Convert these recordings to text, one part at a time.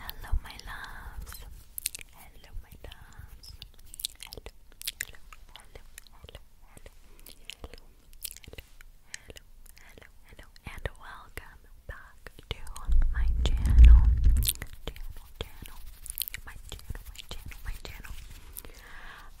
Hello, my loves. Hello, my loves. Hello, hello, hello, hello, hello, hello, hello, hello, hello, and welcome back to my channel. Channel, channel, my channel, my channel, my channel.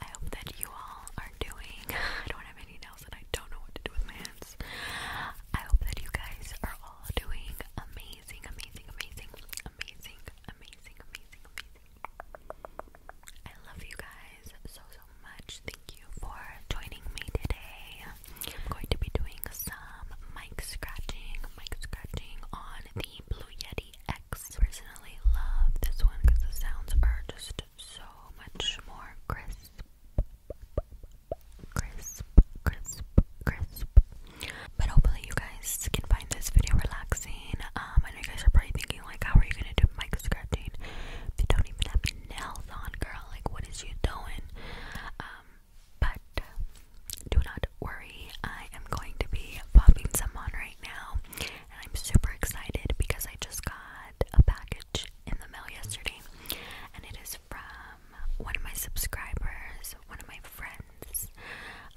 I hope that you all are doing. I don't have any notes. I don't know what to do with my hands. I hope that you guys are all doing amazing, amazing, amazing, amazing, amazing, amazing, amazing. I love you guys so, so much. Thank you for joining me today. I'm going to be doing some mic scratching, mic scratching on the Blue Yeti X. personally love this one because the sounds are just so much more crisp crisp, crisp, crisp. But hopefully you guys can find this video relaxing. Um, I you guys are probably thinking like, how are you gonna do mic scratching? They don't even have nails on, girl. Like, what is you doing? Um, but do not worry. I am going to be popping some on right now, and I'm super excited because I just got a package in the mail yesterday, and it is from one of my subscribers, one of my friends.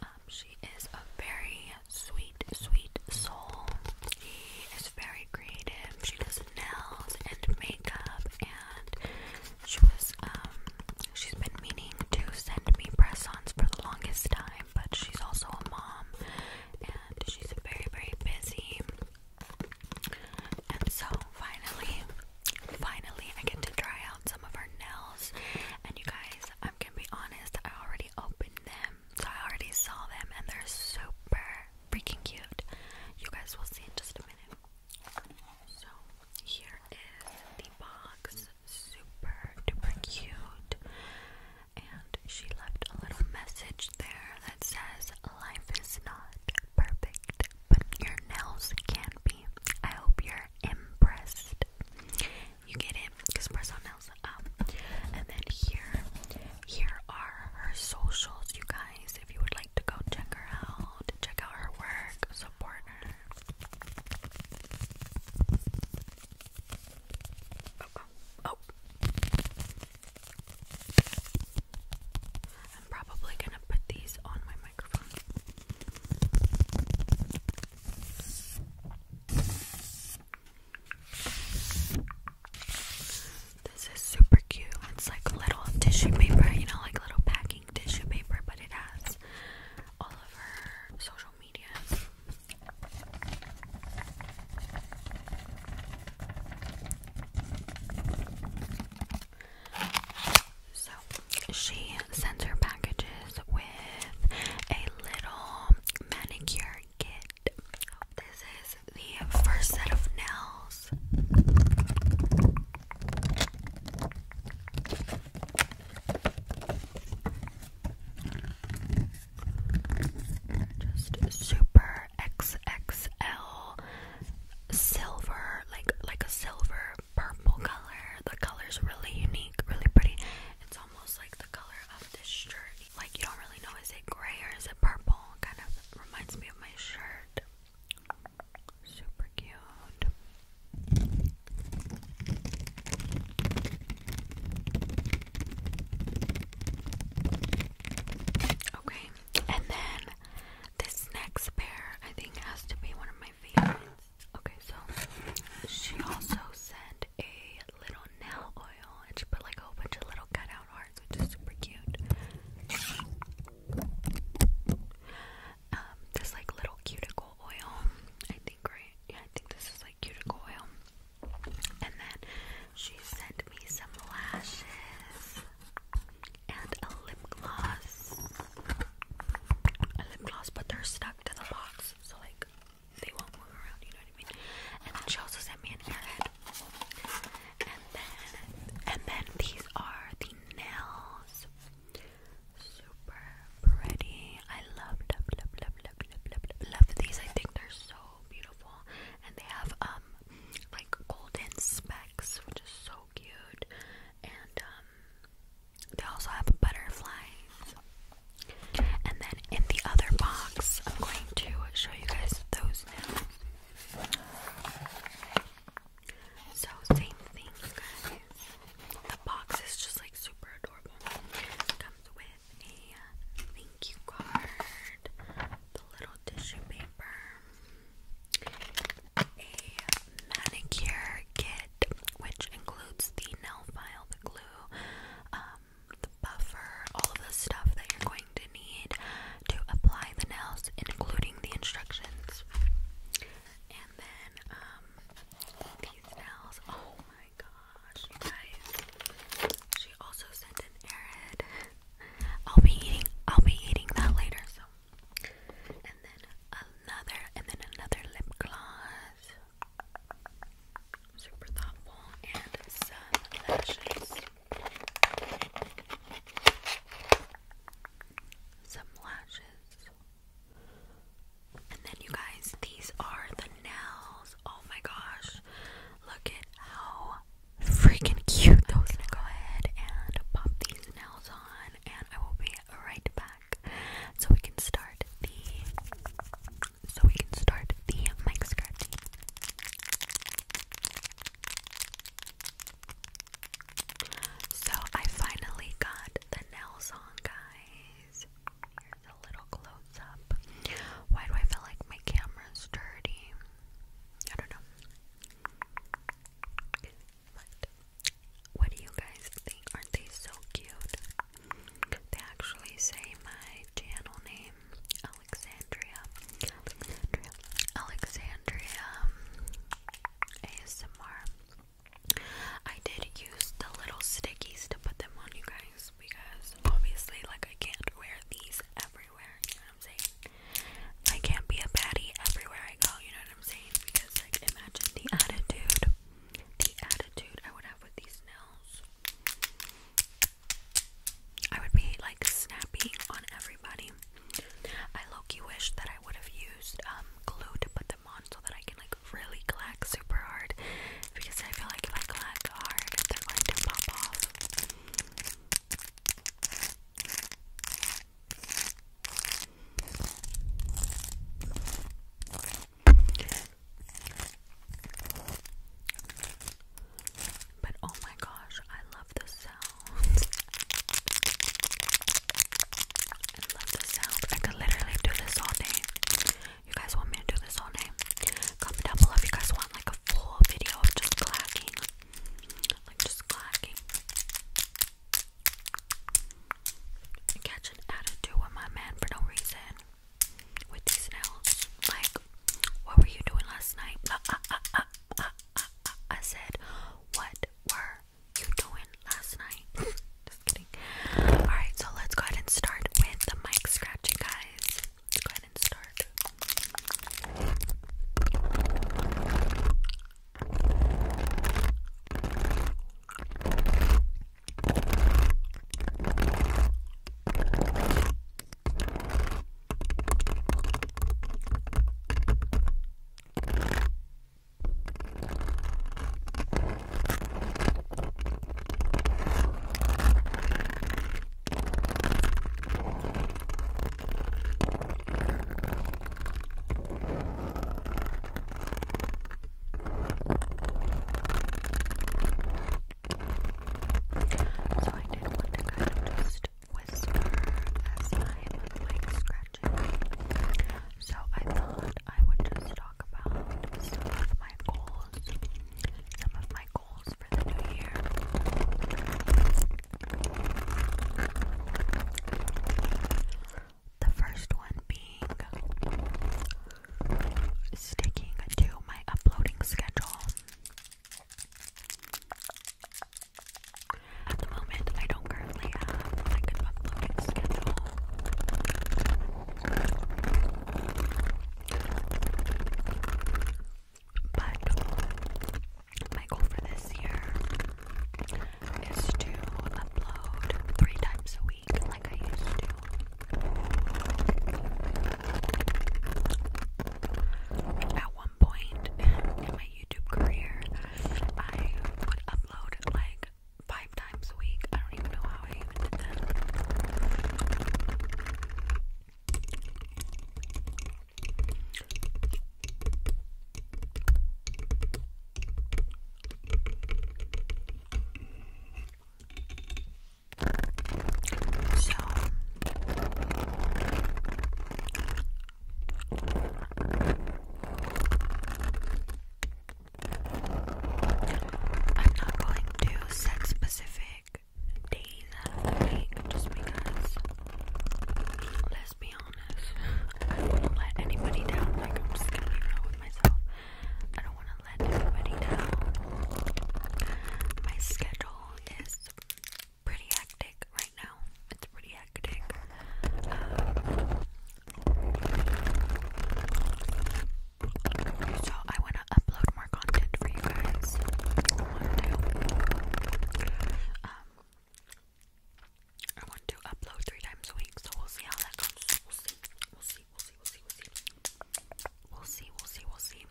Um, she is a very sweet, sweet soul. She is very creative. She does nails and makeup, and she was um she's been meaning to send me press-ons for the longest time, but she's also a mom, and she's very, very busy. And so finally, finally, I get to try out some of our nails. And you guys, I'm gonna be honest, I already opened them, so I already saw them, and they're super freaking cute. You guys will see in just a minute. So here is the box, super duper cute and she left a little message there that says, Life is not perfect, but your nails can be. I hope you're impressed. You get it? Because Presso nails up. Um, and then here, here are her socials, you guys. If you would like to go check her out, check out her work, support her. oh, oh. oh. I'm probably gonna put these on my microphone. This is super cute. It's like little tissue paper, you know, like little packing tissue paper, but it has all of her social media. So she sends her packages with a little manicure kit. This is the first set of nails. Just super or XXL silver, like like a silver purple color. The color is really unique, really pretty. It's almost like the color of this shirt. Like you don't really know is it gray or is it purple? Kind of reminds me of my shirt. Super cute. Okay, and then this next pair I think has to be one of my favorites. Okay, so she also sent a little nail oil and she put like a bunch of little cutout hearts, which is super cute. Um, this like little cuticle oil, I think, right? Yeah, I think this is like cuticle oil. And then she sent me some lashes and a lip gloss. A lip gloss, but they're stuck to the box, so like they won't move around, you know what I mean? And then she also sent me an airhead. And then and then these are the nails. Super pretty. I love, love, love, love, love, love, love, love these. I think they're so beautiful. And they have um um, like golden specks, which is so cute. And um, they also have butterflies. And then in the other box, I'm going to show you guys those now. So same thing, guys. The box is just like super adorable. comes with a thank you card, the little tissue paper, a manicure kit, which includes the nail file, the glue, um, the buffer, all of the stuff that you're going to need to apply the nails, including the instructions. And then, um, these nails. Oh my gosh, guys. She also sent an airhead. I'll be eating I'll be eating that later, so and then another and then another lip gloss. Super thoughtful and some lashes. Some lashes. And then you guys, these are the nails. Oh my gosh. Look at how freaking cute though. I'm gonna go ahead and pop these nails on, and I will be right back so we can start the so we can start the mic scratching. So I finally got the nails on, guys. Here's a little close up. Why do I feel like my camera's dirty? I don't know. what do you guys think? Aren't they so cute? They actually say my channel name, Alexandria. Alexandria ASMR. Um, I did use the little stickies to put them on you guys because obviously, like, I can't wear these everywhere, I'm saying? I can't be a patty everywhere I go, you know what I'm saying? Because, like, imagine the attitude, the attitude I would have with these nails. I would be, like, snappy on everybody. I low-key wish that I would have used, um, glue to put them on so that I can, like, really clack super hard because I feel like if I clack hard, they're going to pop off. But oh my gosh, I love the sound. I love the sound. I could literally do this all day. You guys want me to do this all day? Comment down below if you guys want like a full video of just clacking. Like just clacking. I catch an attitude with my man for no reason. With these nails. Like, what were you doing last night? Uh, uh, uh, I said, what were you doing last night? Alright, so let's go ahead and start with the mic scratching, guys. Let's go ahead and start. So I did want to kind of just whisper as I'm like scratching. So I thought I would just talk about some of my goals. Some of my for the new year. The first one being sticking to my uploading schedule. At the moment, I don't currently have like an uploading schedule. But my goal for this year is to upload three times a week like I used to. At one point in my YouTube career, I would upload like five times a week. I don't even know how I even did that. So I'm not going to set specific days of the week just because, let's be honest, I don't want to let anybody down. Like, I'm just gonna be real with myself. I don't want to let anybody down. My schedule is pretty hectic right now. It's pretty hectic. Um, so I want to upload lot more content for you guys. One, two. Um, I want to upload three times a week, so we'll see how that goes. We'll see. We'll see. We'll see. We'll see. We'll see. We'll see. We'll see.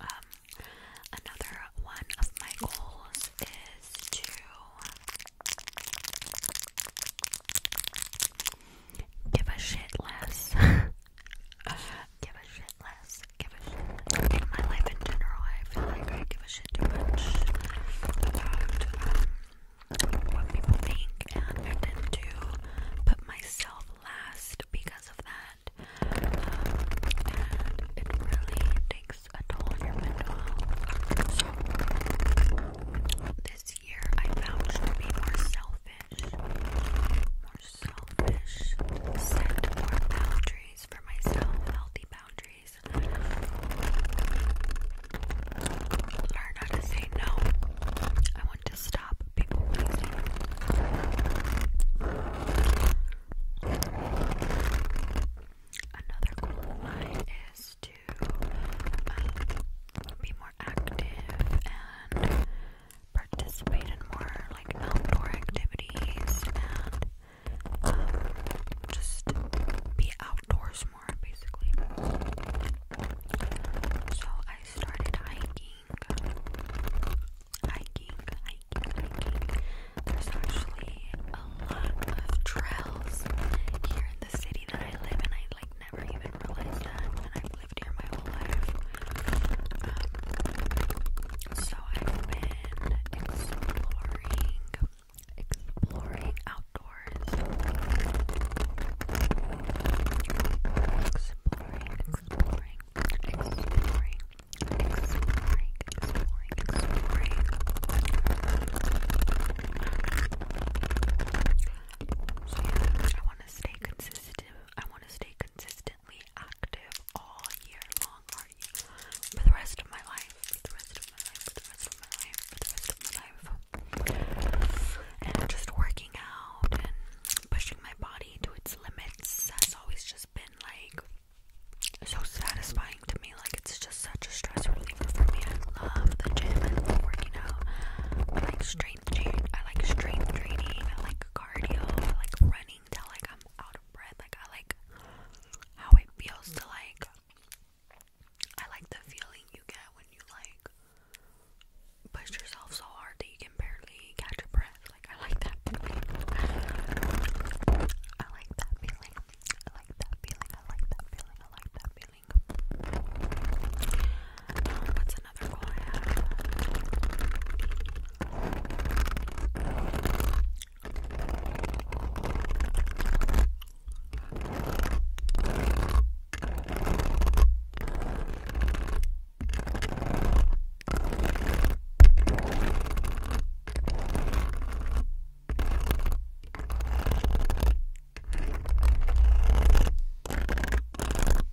Um, another one of my goals is to give a shit less. give a shit less. Give a shit less. In my life in general, I feel like I give a shit too much um, what people think, and I tend to put myself last because of that. Um, and it really takes a toll on your mental health. So, this year I vouched to be more selfish selfish, set more boundaries for myself, healthy boundaries. Learn how to say no. I want to stop people pleasing. Another goal is to um, be more active and participate in more like outdoor activities and um, just be outdoors more basically. So I started hiking. Hiking, hiking, hiking. There's actually a lot of trails here in the city that I live in. I like never even realized that lived here my whole life. Um, so I've been exploring, exploring outdoors. Exploring, exploring, exploring. Exploring, exploring, exploring. So I want to stay consistent. I want to stay consistent active all year long, For the rest of my life, for the rest of my life, for the rest of my life, for the rest of my life. And just working out and pushing my body to its limits has always just been like so satisfying to me. Like it's just such a stress reliever for me. I love the gym. I working out. I like strength training. I like strength training cardio, like running till like I'm out of breath. Like I like how it feels to like I like the feeling you get when you like push yourself so hard that you can barely catch a breath. Like I like that I like that feeling. I like that feeling. I like that feeling. I like that feeling. Um, what's another goal I have.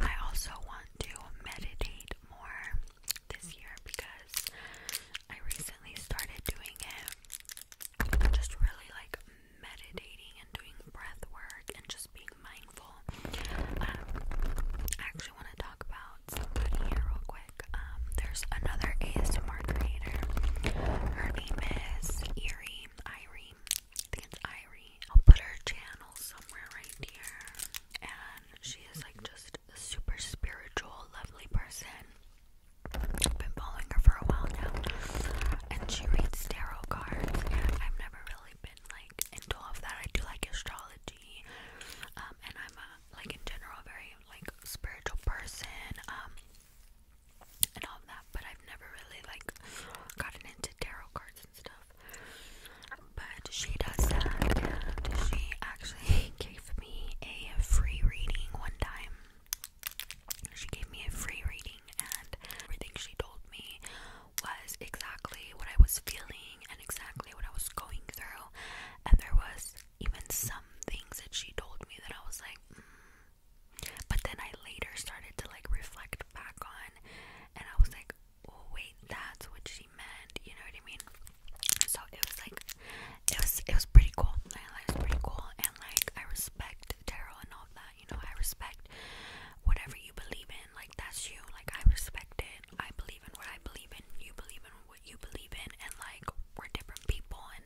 I also want to meditate more this year because I recently started doing it. Just really like meditating and doing breath work and just being mindful. Um, I actually want to talk about somebody here real quick. Um, there's another ASMR creator. Her name is Erie, Irie. I think it's Irie. I'll put her channel somewhere right here. And she is like just a super spiritual, lovely person. I've been following her for a while now. And she reads tarot cards. I've never really really been like into all of that. I do like astrology, um, and I'm a, like in general a very like spiritual person, um, and all that. But I've never really like gotten into tarot cards and stuff. But she does that, and she actually gave me a free reading one time. She gave me a free reading, and everything she told me was exactly what I was feeling and exactly what I was going through. And there was even some things that she told me that I was like, mm. but then I later started to like reflect back on, and I was like, oh wait, that's what she meant. You know what I mean? So it was like, it was it was pretty cool. I like pretty cool, and like I respect tarot and all that you know, I respect whatever you believe in. Like that's you. Like I respect it. I believe in what I believe in. You believe in what you believe in. And like we're different people. And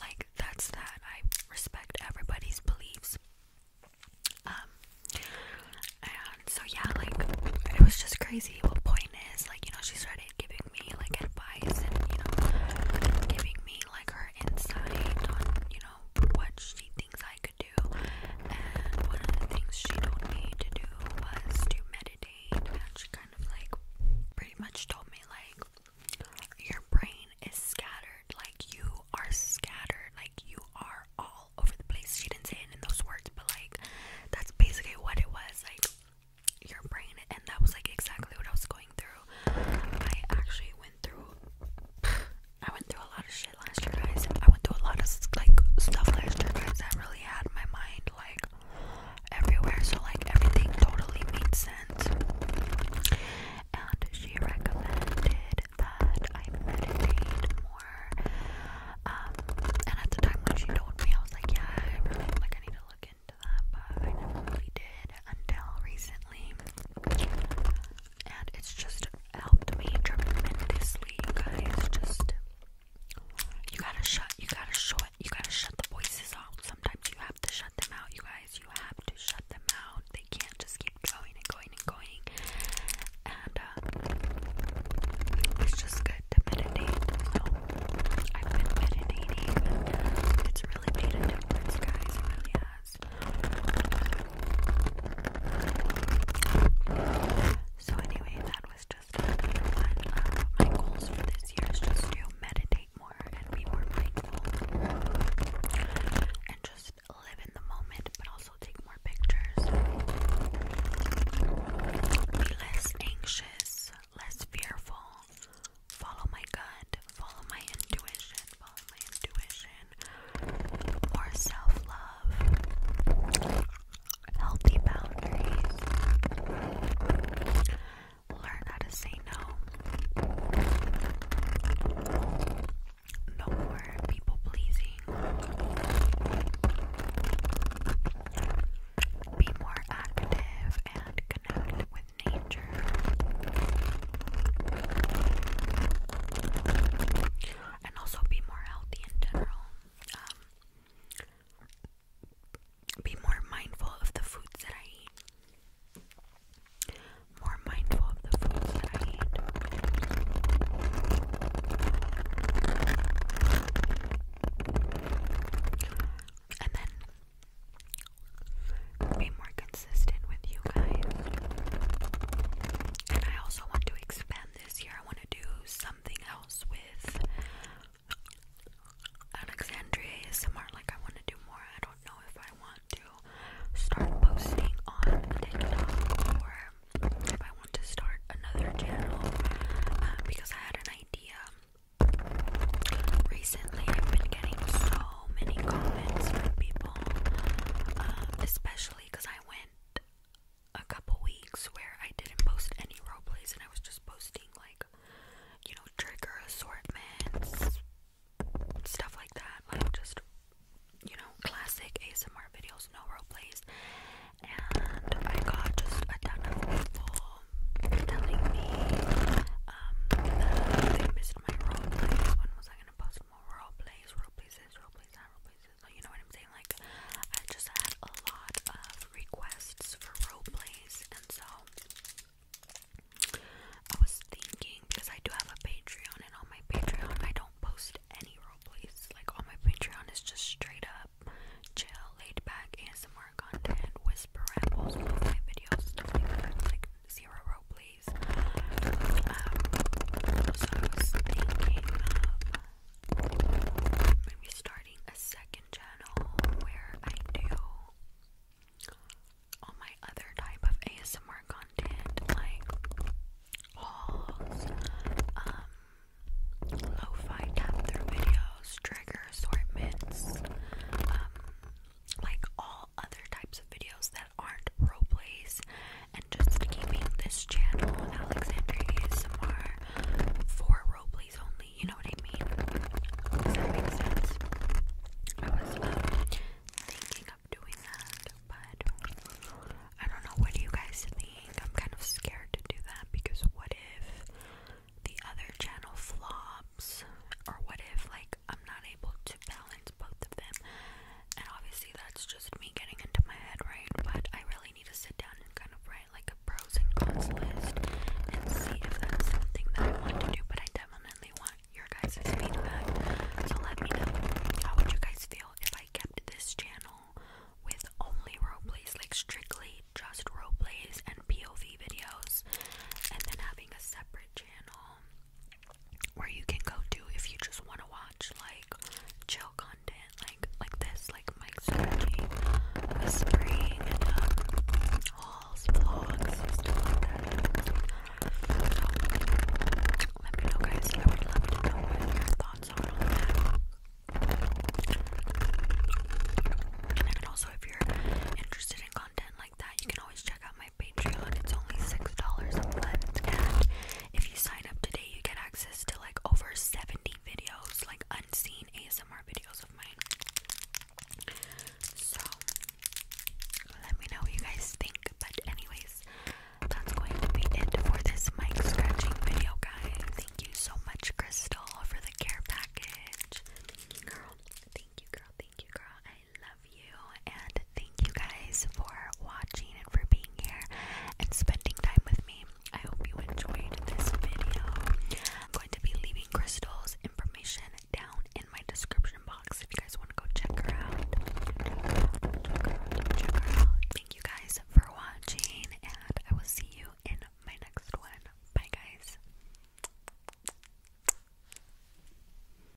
like that's that. I respect everybody's beliefs. Um. And so yeah, like it was just crazy. What point is like you know she started giving me like advice and you know giving me like her insight on you what she thinks I could do. And one of the things she told me to do was to meditate. And she kind of like pretty much told me, like, your brain is scattered. Like, you are scattered. Like, you are all over the place. She didn't say it in those words, but like, that's basically what it was. Like, your brain. And that was like exactly what I was going through. I actually went went through I went through a lot of shit last year, guys. I went through a lot of like stuff last year, guys. That really had my mind like everywhere, so like everything totally made sense. And she recommended that I meditate more. Um, and at the time when she told me, I was like, yeah, I really like I need to look into that, but I never really did until recently and it's just helped me tremendously, you guys. Just you gotta shut, you gotta shut, you gotta shut the voices out. Sometimes you have to shut them out, you guys. You have to shut them out. They can't just keep going and going and going. And uh, it's just good to meditate. So I've meditating. It's really made guys. It so anyway, that was just my goals for this year is just to meditate more and be more mindful, and just live in the moment, but also take more pictures. Be less anxious, less fearful. Follow my gut. Follow my intuition follow my intuition, more self love, healthy boundaries, learn how to say no, no more people pleasing, be more active and connect with nature. Ginger. And also be more healthy in general. Um, be more mindful of the foods that I eat. More mindful of the foods that I eat. And then be more consistent with you guys. And I also want to expand this year. I want to do something else with Alexandria ASMR. Like, I want to do more. I don't know if I want to start posting on TikTok or if I want to start another channel uh, because I had an idea. Recently, I've been getting so many comments from people, um, especially because I went a couple weeks where I didn't post any role plays and I was just posting like, you know, trigger assortments, stuff like that, like just you know, classic ASMR videos, no role plays, and I got just a ton of people telling me um, they missed my role When was I gonna post more roleplays, roleplays this, roleplays that, You know what I'm saying? Like, I just had a lot of requests for roleplays, and so I was thinking because I do have a Patreon, and on my Patreon, I don't post any roleplays. Like, on my Patreon, it's just straight up chill, laid back ASMR content, whisper rambles, my videos, stuff like that. Like, zero rupees. Um, I was thinking of maybe starting a second channel where I do all my other type of ASMR content, like hauls, um, lo through videos, trigger assortments, um, like all other types of videos that aren't role plays and just keeping this channel Alexandria ASMR for role plays only, you know what I mean? Does that make sense? I was um, thinking of doing that, but I don't know what do you guys think. I'm kind of scared to do that because what if the other channel flops or what if like I'm not able to balance that's both of them. And obviously, that's just me getting into my head, right? But I really need to sit down and kind of write like a pros and cons list and see if that's something that I want to do. But I definitely want your guys' feedback. So let me know how would you guys feel if I kept this channel with only roleplays, like strictly just roleplays and POV videos, and then having a separate channel where you can go to if you just want to watch like chill content like like this like Mike's searching, whispering, um, hauls, vlogs, let me know guys, I would love know your thoughts are on that. And also if you're interested in content that, you can always check out my Patreon. It's only six dollars a month, and if you sign up today, you get access to like over seventy videos, like unseen ASMR videos of mine. So let me know what you guys think. But anyways, that's going to be it for this mic scratching video, guys. Thank you so much, Crystal, for the care package. Thank you, girl. Thank you, girl. Thank you, girl love you and thank you guys for watching and for being here and spending time with me. I hope you enjoyed this video. I'm going to be leaving Crystal's information down in my description box if you guys want to go check her out. check her out, check her out. Thank you guys for watching and I will see you in my next one. Bye guys.